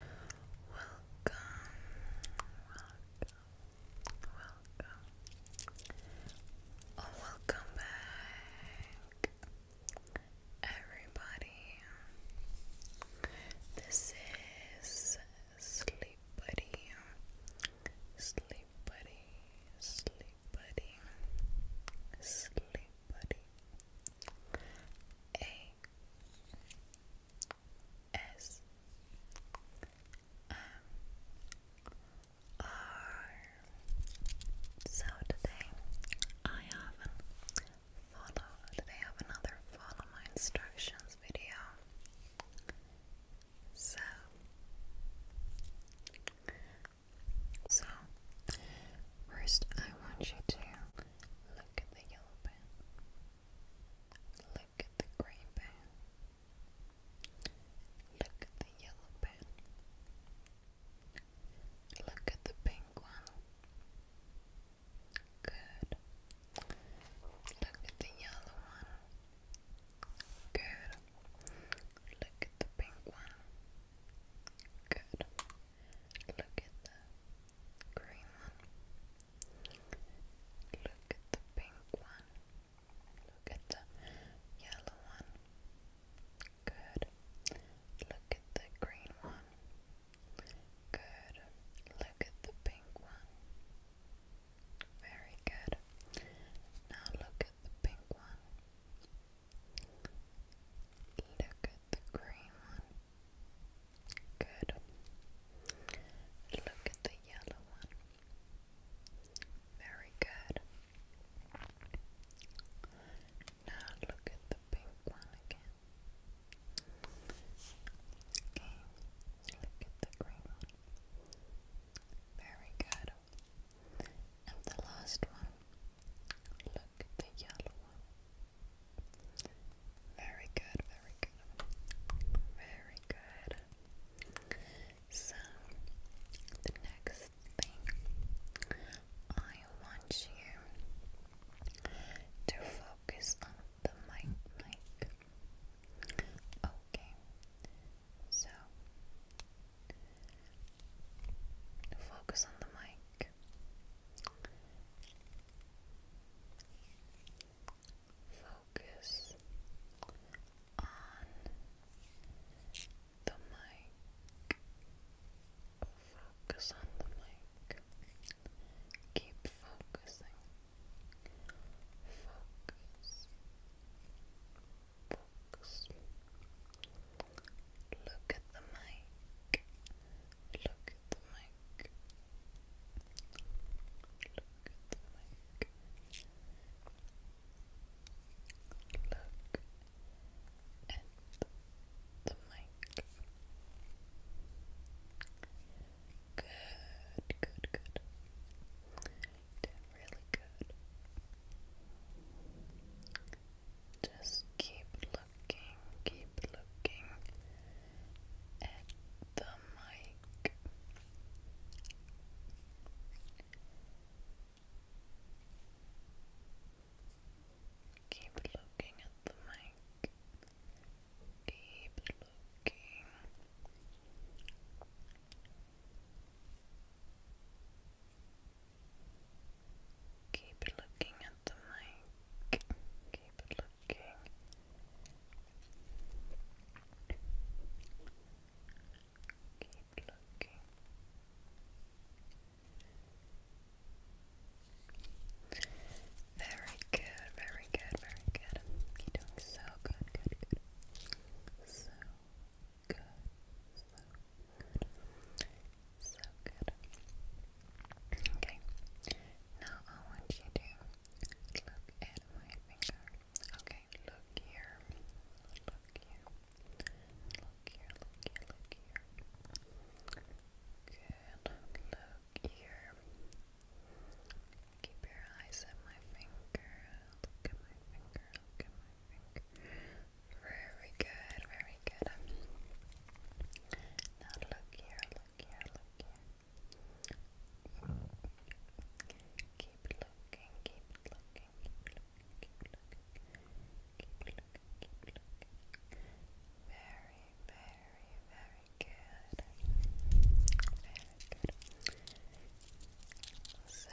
welcome, welcome, oh, welcome back, everybody. This is Sleep Buddy, Sleep Buddy, Sleep Buddy, Sleep Buddy. A S M R. So today I have follow. Today I have another follow my instructions video. So. So, first, I want you to Look at the yellow pen. Look at the green pen. Look at the yellow pen. Look at the pink one. Good. Look at the yellow one. Good. Look at the pink one. Good. Look at the green one. Look at the pink one. Look at the yellow one. Good. Look at the green one. Good. Look at the pink one. Very good. Now look at the pink one. Look the green one. Good. Look at the yellow one. Very good. Now look at the pink one again. Okay. Look at the green one. Very good. And the last one. Look the yellow one. Very good, very good. Very good. So, the next thing I want you to focus on the mic mic. Okay. So, focus on the mic. Focus on the mic. Focus on the mic. Keep focusing. Focus. Focus. Look at the mic. Look at the mic. Look at the mic. Look at the mic. Good, good, good. Did really good. Just keep looking, keep looking at the mic. Keep looking at the mic. Keep looking. Keep looking at the mic. Keep looking. Keep looking. Very good, very good, very good. You're doing so good, good, good. So good, so so good. Okay. Now I want you to look at my finger. Okay, Look here. Look here, look here, look here. Good. Look here. Keep your eyes at my finger. Look at my finger. Look at my very good, very good. Um, now look here, look here, look here. Keep looking, keep looking, keep looking, keep looking, keep looking, keep looking. Very, very, very good. Very good. So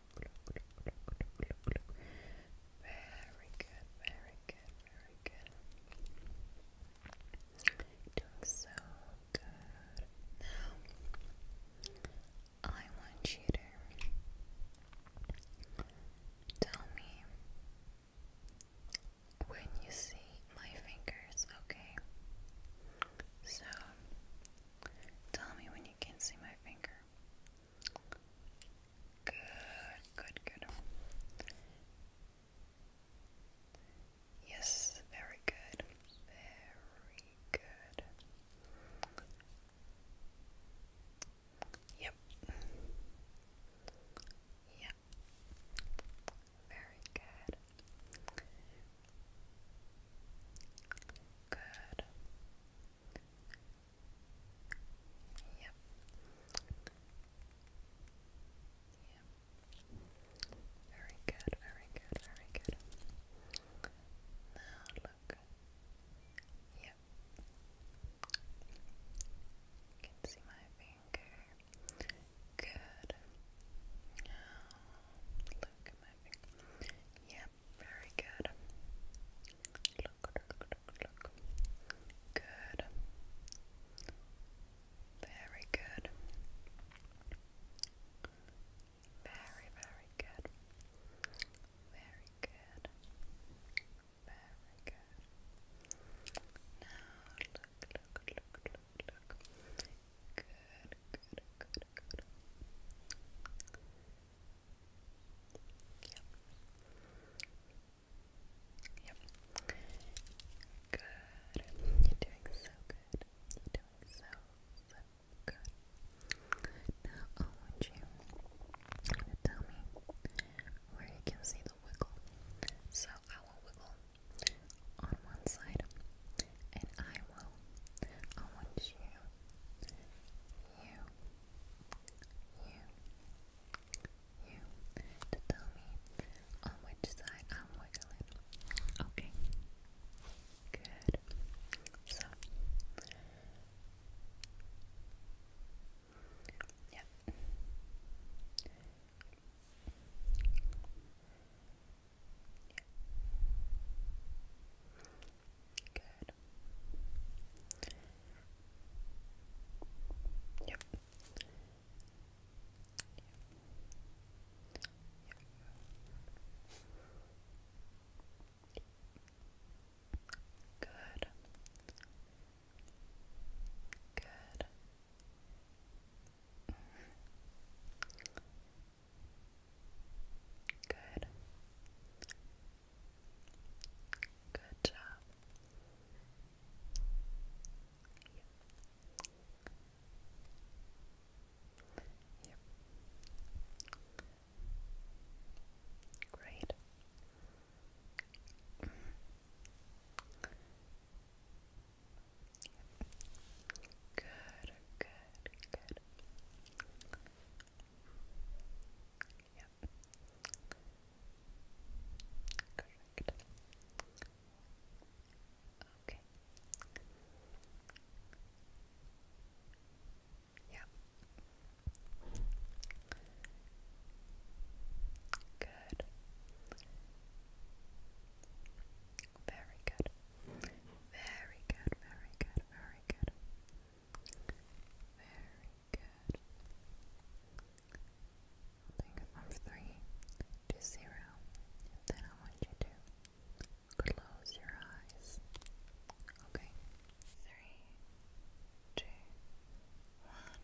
very good, very good, very good. you doing so good. Now, I want you to tell me when you see my fingers, okay? So, tell me when you can see my finger. Good, good, good. Yes, very good. Very good. Yep. Yep. Very good. Good. Yep. Very good, very good, very good. Now look. Yep. can see my finger. Good. Now look at my finger. Yeah, Yep, very good. Look, look, look, look. Good. Very good. Very, very good. Very good. Very good. Now look, look, look, look, look. Good, good, good, good. Yep. Good. You're doing so good. You're doing so, so good. Now I want you to tell me where you can see the wiggle. So I will wiggle on one side and I will. I want you you, you, you to tell me on which side I'm wiggling. Okay. Good. So, yep. Yeah. Good. Yep. Yep. Yep. Good. Good. Mm -hmm. Good. Good job. Yep. Yep. Great. Mm. Yep. Good, good good. Yep. Correct. Okay. Yep. Good. Very good. Very good, very good, very good. Very good. think from three then I want you to close your eyes. Okay. Three, two, one.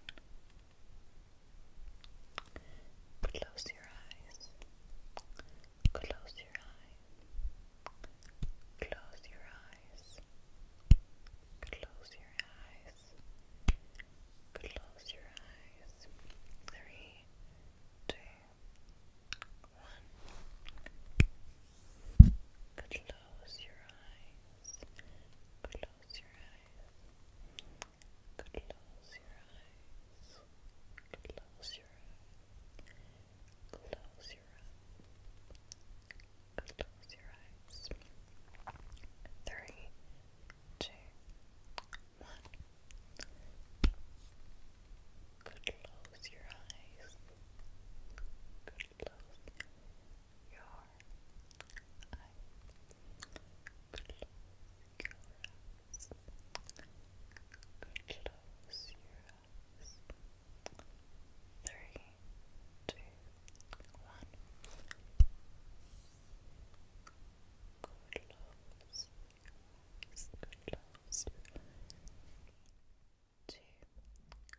Close your eyes. Close your eyes. Close your eyes. Close your eyes. Close your eyes. Three, two, one. Close your eyes. Close your eyes. Close your eyes. Close your eyes. Close your eyes. Close your eyes. Three, two, one. Close your eyes. Close your eyes. Close eyes. Close your eyes. Three, two, one. Close your eyes. Close your eyes. Two, one.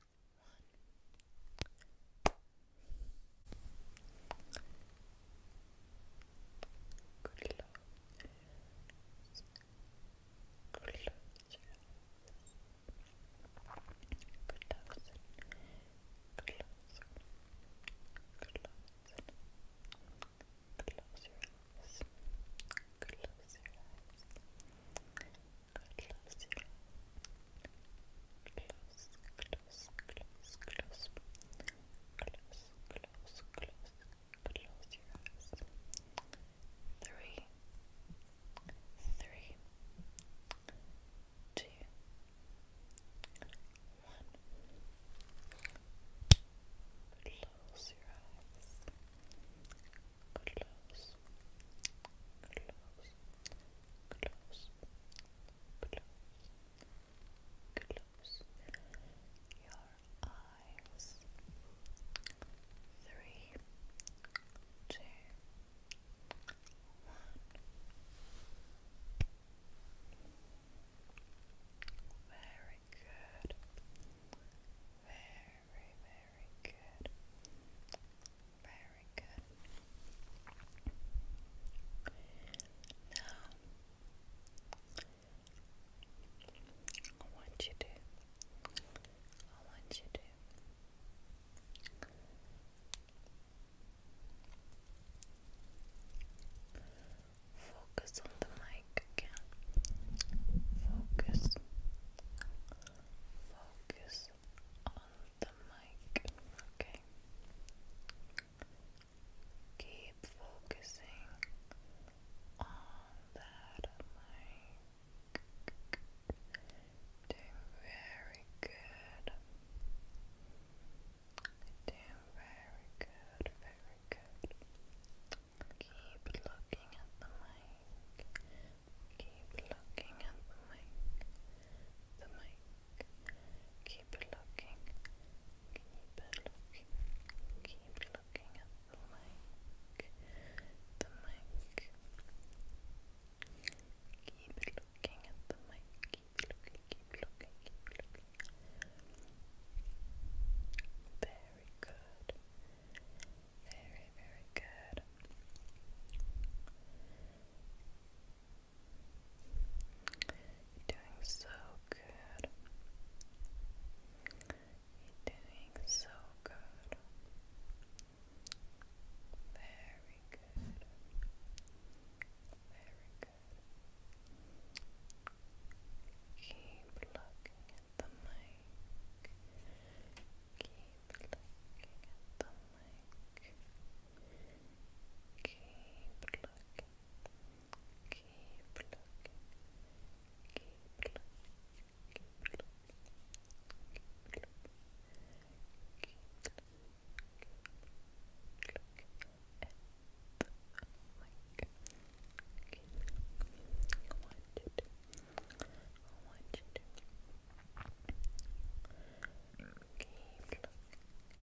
Close your eyes. Close your eyes. Close Close Close Close Close Close Close, close, close, close. Close, close, close, Close your eyes. Three, three, two, one. Close your eyes. Close, close, close, close, close shadows, your eyes. Three, two, one. Very good. Very, very good. Very good. Now, I want you to. I want you to. Focus on the mic again. Focus. Focus on the mic. Okay. Keep focusing on that mic. Doing very good. Doing very good, very good. Keep looking at the mic. Keep looking at the mic. The mic. Keep looking looking, keep looking at the mic, the mic. Keep looking at the mic, keep looking, keep looking, keep looking. Very good. Very, very good you doing so good. you doing so good. Very good. Very good. Keep looking at the mic. Keep looking at the mic. Keep looking Keep looking. Keep looking. Keep looking. Keep looking. Keep looking. Keep looking Keep looking. you Keep looking.